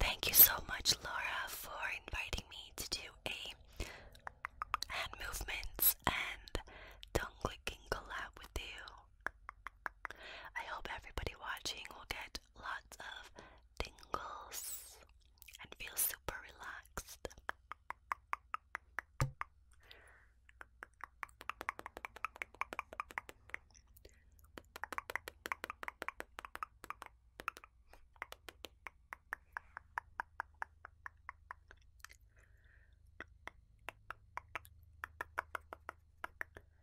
Thank you so much, Laura, for inviting me to do a hand movements and tongue clicking collab with you. I hope everybody watching will get lots of tingles and feel super relaxed.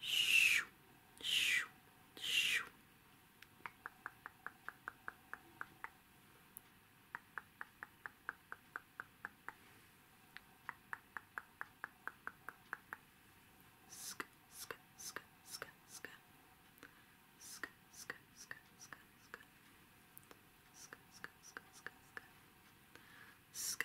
Shoo, shoo, shoo. Sk, sk, sk, sk, sk. Sk, sk, sk, sk, sk. Sk, sk, sk, sk, sk. Sk,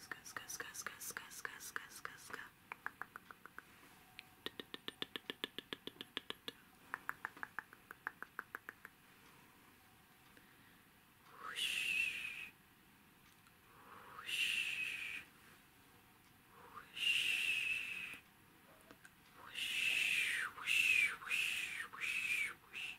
Ska ska ska ska ska ska ska ska ska Whoosh. Whoosh. Whoosh. Whoosh, whoosh, whoosh, whoosh, whoosh.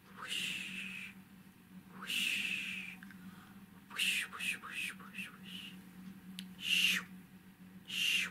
Whoosh, whoosh, whoosh, whoosh, whoosh, whoosh, whoosh. Shoo, shoo.